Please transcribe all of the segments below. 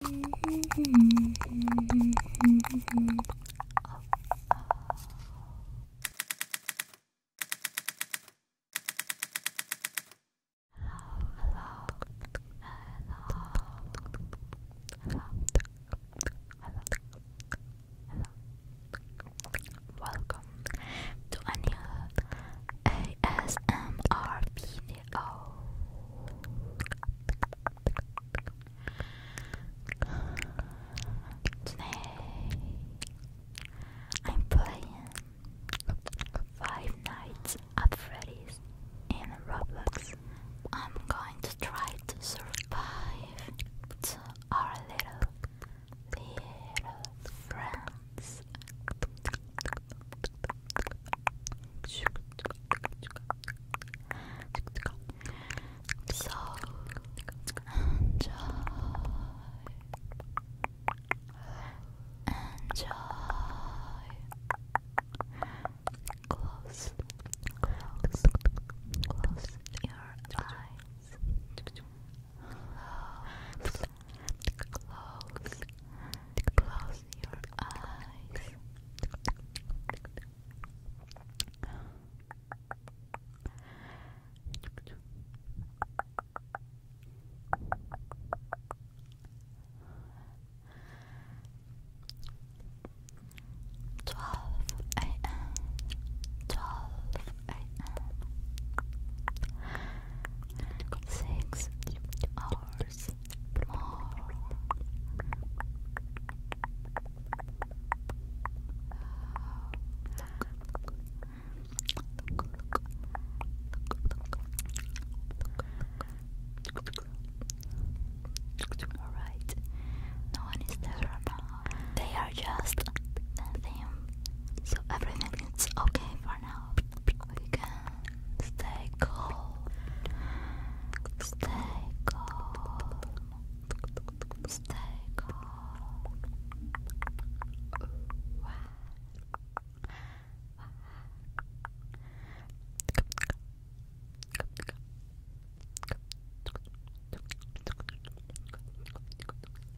Welcome to a video video. Today I'm playing Five Nights at Freddy's in Roblox. I'm going to try to survive to our little little friends. So enjoy, enjoy. Close, close, close your eyes. Close Close, close your eyes. Twelve a.m. Twelve a.m six hours more. Alright, no one is there now. They are just nothing, so everything is okay for now. We Stay cold. Stay cold. Stay cold.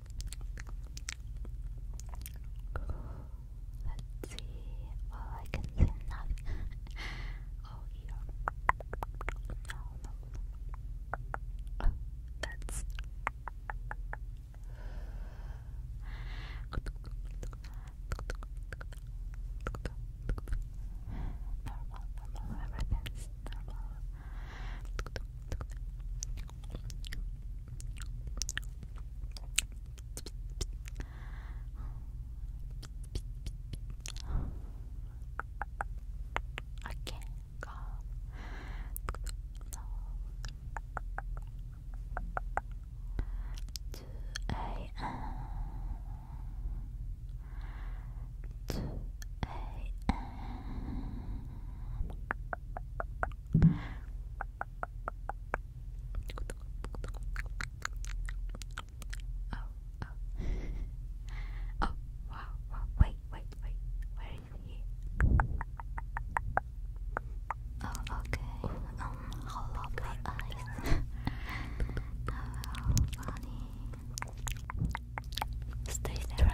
Let's see. Well, I can see nothing. oh, here. No, that's. Normal, normal, everything's normal. I can't go. Two a.m. Two a.m. Oh, oh. oh, wow, wow. Wait, wait, wait. Where is he? Oh, okay. Um, how lovely eyes. oh, funny. Stay there,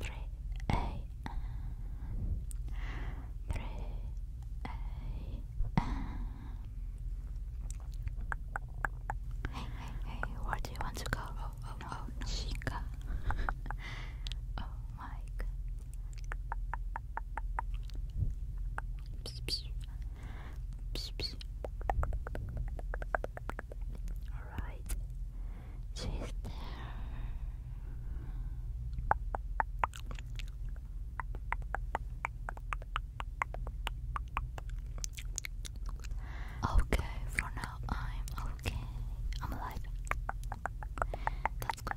Three a.m. Three a.m. Hey, hey, hey! Where do you want to go? Oh, oh, oh, Chica. oh my God. Alright, she's there. Okay, for now I'm okay. I'm alive. That's good.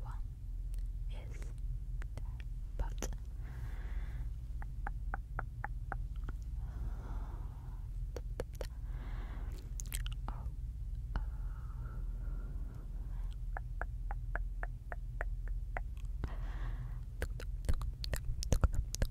One is but oh, oh.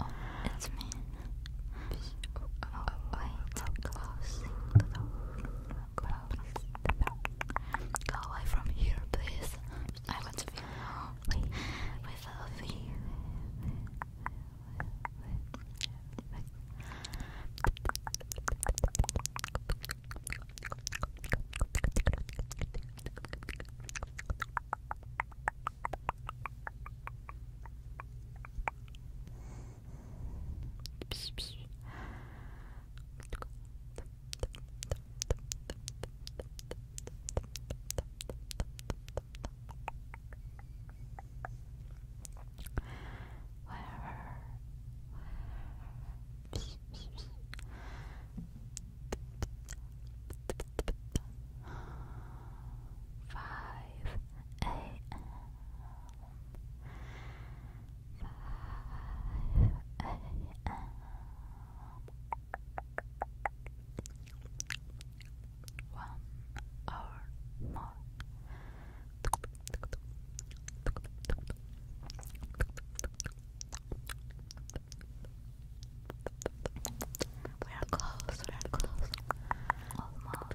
Oh, it's me. Oh, oh, wait, close Go away from here, please. I want to be Love you. 5 a.m. One hour more. We are close, we are close. Almost.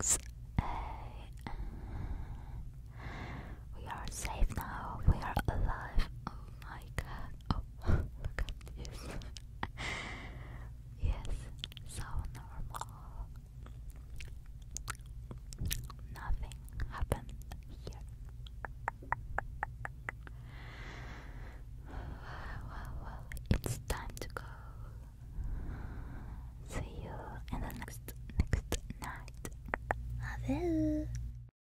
Six a. We are safe now. We are alive. Oh my god. Oh look at this. yes, so normal. Nothing happened here. Well, well, well, it's time to go. See you in the next next night. Adieu.